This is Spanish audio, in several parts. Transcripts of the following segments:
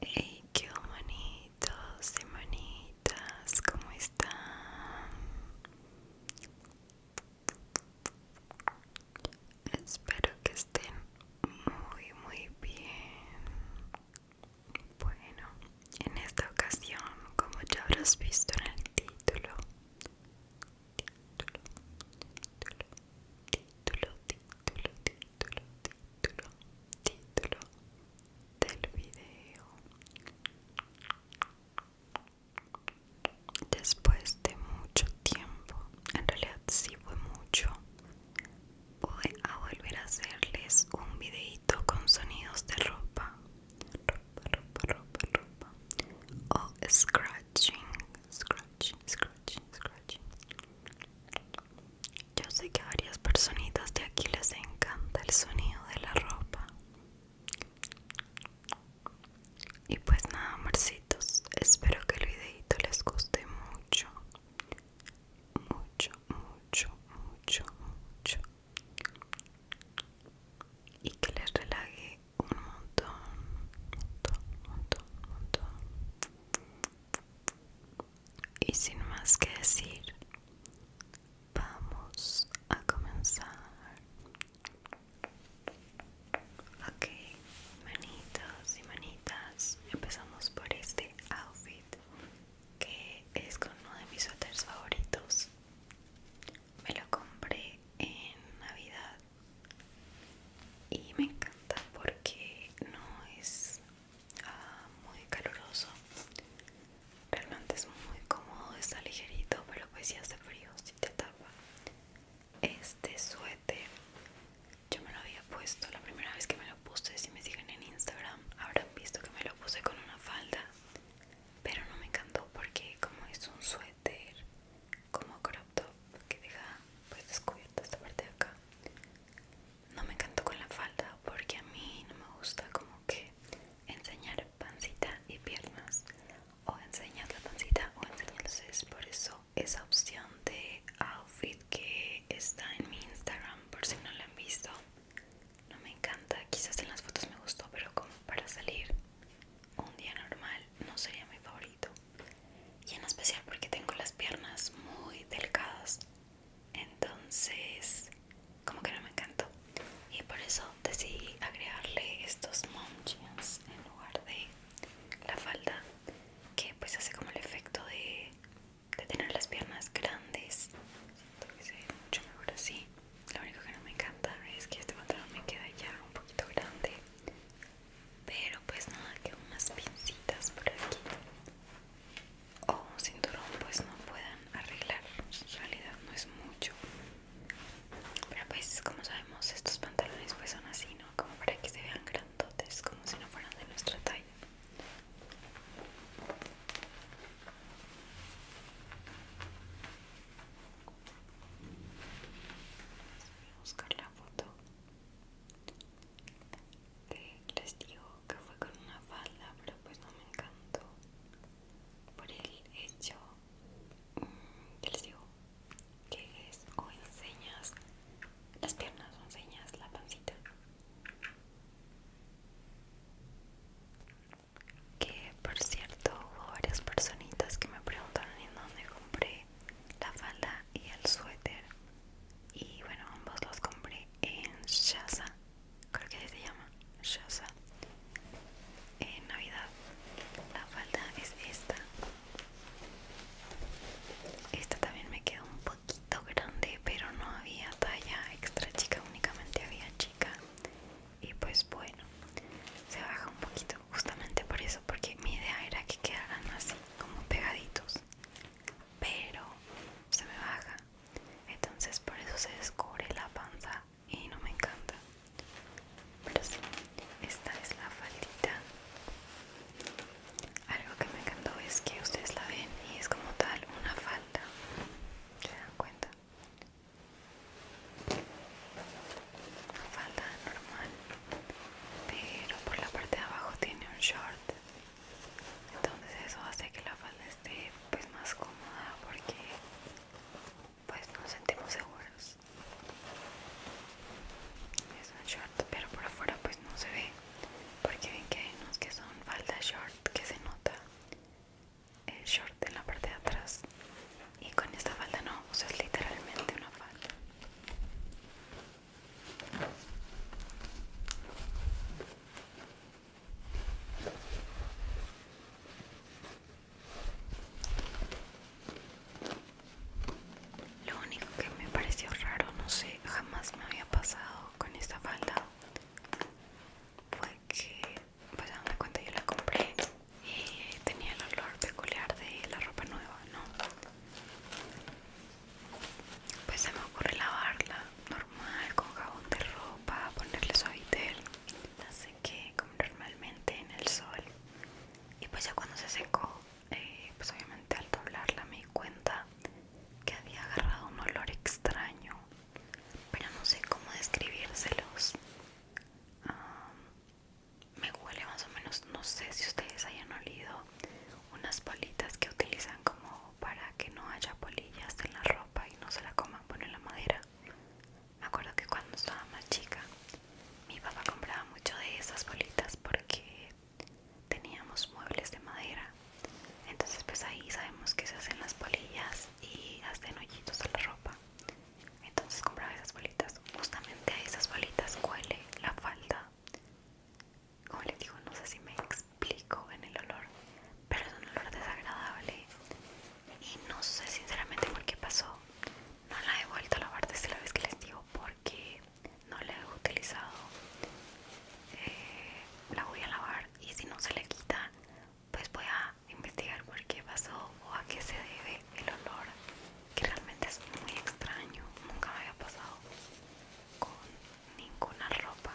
Hey, qué manitos y manitas, ¿cómo están? Espero que estén muy, muy bien. Bueno, en esta ocasión, como ya habrás visto en el título, título, título, título, título, título, título del video. Después de mucho tiempo, en realidad sí fue mucho, voy a volver a hacerles un videito con sonidos de ropa, ropa, ropa, ropa, ropa, o scratching, Scratch, scratch, scratch. Yo sé que a varias personitas de aquí les encanta el sonido de la ropa. Y pues nada, Marcitos espero que el videito les guste mucho. Mucho, mucho, mucho, mucho. Y que les relaje un montón, montón, montón, montón. Y sin más que decir, vamos a comenzar. Ok, manitos y manitas, empezamos por este outfit que es con uno de mis suéteres favoritos. Me lo compré en Navidad y me encanta porque no es ah, muy caluroso realmente es muy cómodo está ligerito pero pues si hace frío si te tapa este suéter yo me lo había puesto la primera vez que me lo puse si me siguen en instagram habrán visto que me lo puse con una falda pero no me encantó porque como es un suéter como crop top que deja pues descubierto esta parte de acá no me encantó con la falda porque a mí no me gusta como que enseñar pancita y piernas o enseñar la pancita o enseñas es por eso esa opción de outfit que está en mi Instagram por si no la han visto no me encanta quizás en las fotos me gustó pero como para salir un día normal no sería mi favorito y en especial porque tengo las piernas muy delgadas entonces como que no me encantó y por eso decidí agregarle estos mom en lugar de la falda que pues hace como el efecto de, de tener las piernas grandes siento que se ve mucho mejor así lo único que no me encanta es que este pantalón me queda ya un poquito grande. Pero pues nada, que unas pincitas por aquí. O un cinturón pues no puedan arreglar. En realidad no es mucho. Pero pues como sabemos estos pantalones pues son así, ¿no? Como para que se vean grandotes, como si no fueran de nuestra talla voy a buscar la foto que les digo que fue con una falda pero pues no me encantó por el hecho mm, que les digo que es o enseñas las piernas o enseñas la pancita que por cierto hubo varias personitas que me preguntaron en dónde compré la falda y el suéter y bueno ambos los compré en Shaza creo que se llama Shaza en navidad la falda es esta esta también me quedó un poquito grande pero no había talla extra chica únicamente había chica y pues bueno se baja un poquito justamente por eso porque mi idea era que quedaran así como pegaditos pero se me baja entonces por eso se descubre la panza y no me encanta pero sí esta es la faldita algo que me encantó es que ustedes la ven y es como tal una falda se dan cuenta falda normal pero por la parte de abajo tiene un short entonces eso hace que la falda esté pues más cómoda porque pues nos sentimos seguros es un short pero por afuera pues no se ve porque ven que hay unos que son falda short que se nota el short en la parte de atrás y con esta falda no, o es literalmente una falda lo único que me pareció raro, no sé, jamás me había pasado con esta falda fue que pues me di cuenta yo la compré y tenía el olor peculiar de la ropa nueva, ¿no? Pues se me ocurre lavarla normal con jabón de ropa, ponerle suavitel, la sequé como normalmente en el sol y pues ya cuando se secó, eh, pues obviamente al doblarla me di cuenta que había agarrado un olor extraño, pero no sé cómo describírselos me huele más o menos no sé si ustedes hayan olido unas bolitas que utilizan como para que no haya polillas en la ropa y no se la coman bueno en la madera me acuerdo que cuando estaba más chica mi papá compraba mucho de esas bolitas porque teníamos muebles de madera entonces pues ahí sabemos que se hacen las polillas y hacen hoyitos a la ropa entonces compraba esas bolitas. Justamente a esas bolitas huele la falda. Como les digo, no sé si me explico en el olor, pero es un olor desagradable. Y no sé sinceramente por qué pasó. No la he vuelto a lavar desde la vez que les digo porque no la he utilizado. Eh, la voy a lavar y si no se le quita, pues voy a investigar por qué pasó o a qué se debe el olor que realmente es muy extraño nunca me había pasado con ninguna ropa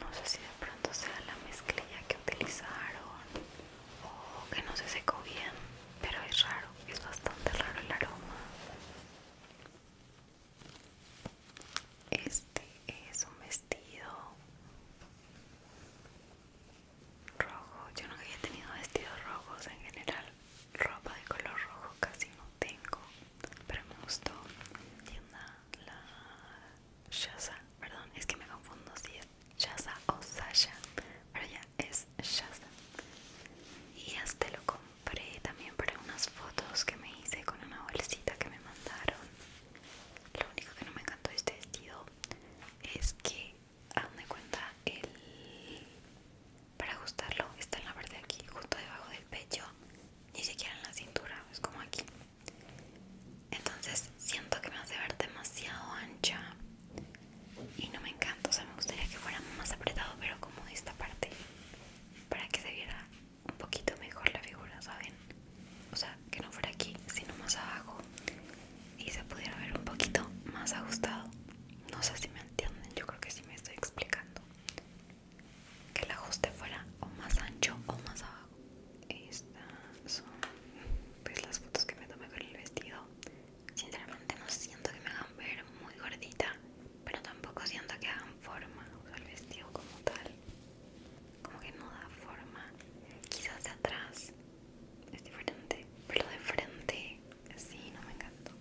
no sé si de pronto sea la mezclilla que utilizaron o que no se secó bien pero es raro es bastante raro el aroma este es un vestido rojo. Yo nunca había tenido vestidos rojos en general. Ropa de color rojo casi no tengo. Pero me gustó. Tienda la Shaza. Perdón, es que me confundo si es Shaza o Sasha. Pero ya es Shaza. Y este lo compré también para unas fotos que me hice con una bolsita que me mandaron lo único que no me encantó de este vestido es que, a donde cuenta, el... para ajustarlo está en la parte de aquí, justo debajo del pecho, ni siquiera en la cintura, es como aquí. Entonces siento que me hace ver demasiado ancha y no me encanta, o sea, me gustaría que fuera más apretado, pero como de esta parte, para que se viera un poquito mejor la figura, ¿saben? O sea, que no fuera aquí, sino más abajo y se pudiera ver un poquito más ajustado. No sé si me entienden, yo creo que sí me estoy explicando. Que el ajuste fuera o más ancho o más abajo. Estas son pues las fotos que me tomé con el vestido. Sinceramente no siento que me hagan ver muy gordita, pero tampoco siento que hagan forma o el vestido como tal como que no da forma. Quizás de atrás es diferente, pero de frente sí, no me encantó.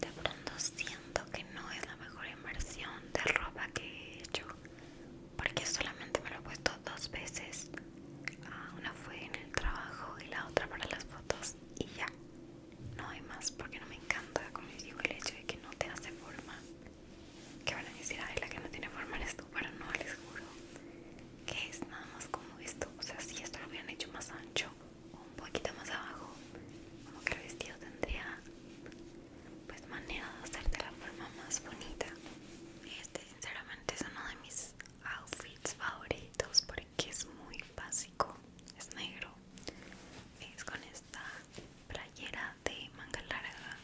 De pronto siento que no es la mejor inversión de ropa que he hecho, porque solamente me lo he puesto dos veces. Ah, una fue en el trabajo y la otra para las fotos y ya. No hay más porque no me encanta, como digo, el hecho de que no te hace forma que van a decir, es la que no tiene forma en esto pero no, les juro que es nada más como esto. O sea, si esto lo hubieran hecho más ancho o un poquito más abajo, como que el vestido tendría pues manera de hacerte la forma más bonita. Este, sinceramente, es uno de mis outfits favoritos porque es muy básico, es negro, es con esta playera de manga larga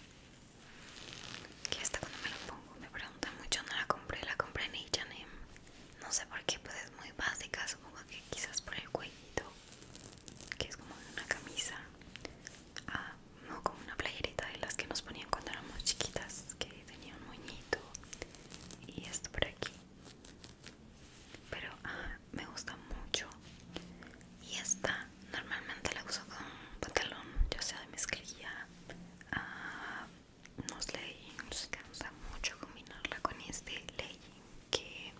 que esta cuando me la pongo me preguntan mucho, no la compré, la compré en H&M no sé por qué, pues es muy básica, supongo que quizás por el cuellito que es como una camisa ah, no, como una playerita de las que nos ponían cuando éramos chiquitas que tenía un moñito y esto por aquí pero, ah, me gusta mucho y esta normalmente la uso con pantalón ya sea de mezclilla a ah, unos leggings que me gusta mucho combinarla con este legging que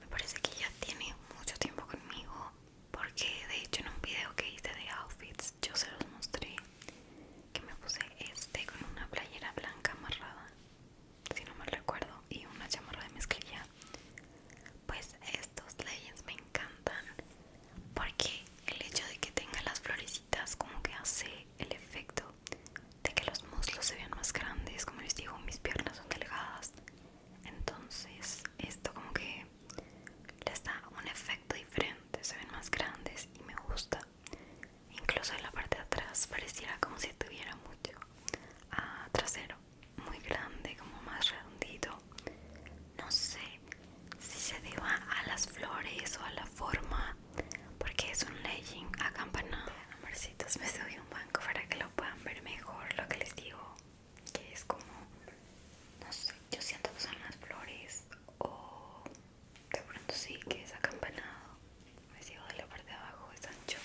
me parece que ya tiene mucho tiempo conmigo porque de hecho en un video que hice de outfits yo se los mostré que me puse este con una playera blanca amarrada si no me recuerdo, y una chamarra de mezclilla. Pues estos leggings me encantan porque el hecho de que tenga las florecitas como que hace el efecto de que los muslos se vean más grandes, como les digo, mis piernas son delgadas. Entonces, esto como que les da un efecto diferente, se ven más grandes y me gusta. Incluso en la parte de atrás pareciera como si tuviera mucho ah, trasero muy grande, como más redondito. No sé si se deba a las flores o a la forma, porque es un legging acampanado. Amorcitos, me subí un banco para que lo puedan ver mejor. Lo que les digo, que es como, no sé, yo siento que son las flores o de pronto sí que es acampanado. Me sigo de la parte de abajo, es ancho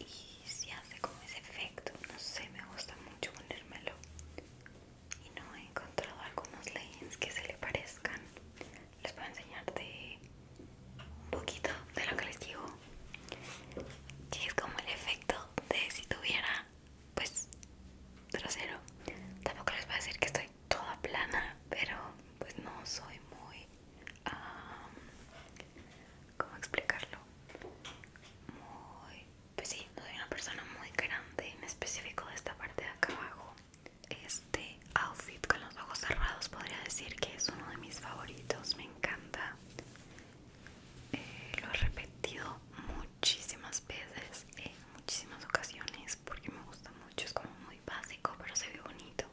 y se hace como ese efecto no sé me gusta mucho ponérmelo y no he encontrado algunos leggings que se le parezcan les voy a enseñar un poquito de lo que les digo y es como el efecto de si tuviera pues trasero tampoco les voy a decir que estoy toda plana, pero pues no soy muy, como ¿cómo explicarlo? Muy, pues sí, soy una persona muy grande, en específico de esta parte de acá abajo. Este outfit con los ojos cerrados podría decir que es uno de mis favoritos, me encanta. Eh, lo he repetido muchísimas veces, en muchísimas ocasiones, porque me gusta mucho, es como muy básico, pero se ve bonito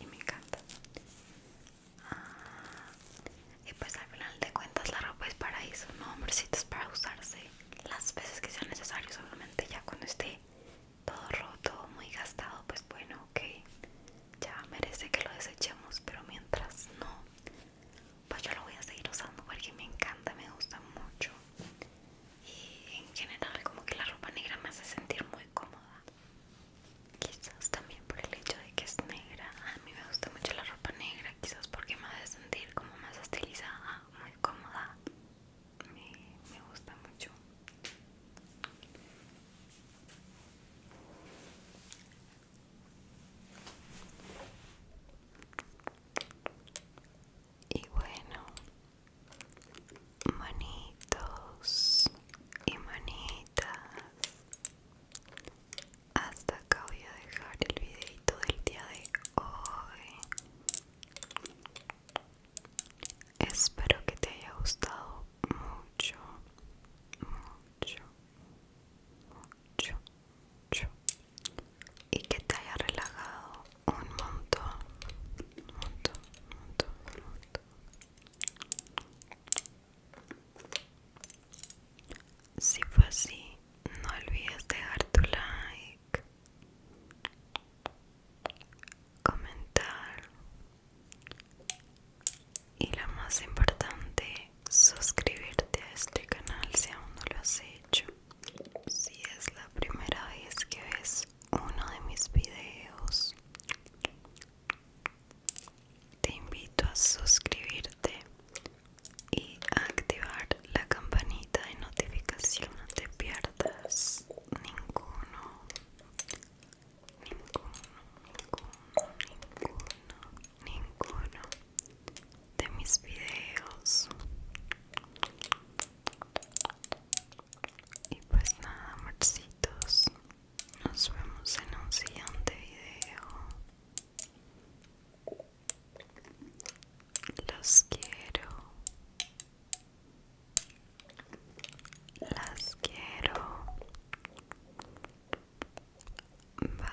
y me encanta. Ah, y pues al final de cuentas la ropa es para eso, no hombrecitos para usarse las veces que sea necesarios, solamente ya cuando esté todo roto, muy gastado, pues bueno, ok, ya merece que lo desechemos, pero mientras no, pues yo lo voy a seguir usando porque me encanta, me gusta mucho y en general como que la ropa negra me hace sentir muy cómoda quizás también por el hecho de que es negra a mí me gusta mucho la ropa negra quizás porque me hace sentir como más estilizada muy cómoda me, me gusta mucho y bueno manitos y manitas hasta acá voy a dejar el videito del día de hoy espero que te haya gustado mucho mucho mucho, mucho y que te haya relajado un montón, montón, montón, montón. Si fue así, no olvides dejar tu like, comentar y lo más importante, suscribirte a este canal si aún no lo has hecho. Si es la primera vez que ves uno de mis videos te invito a suscribirte y activar la campanita de notificación no te pierdas ninguno ninguno ninguno ninguno ninguno de mis videos y pues nada, amorcitos. Nos vemos en un siguiente video. Los quiero. Las quiero. Bye.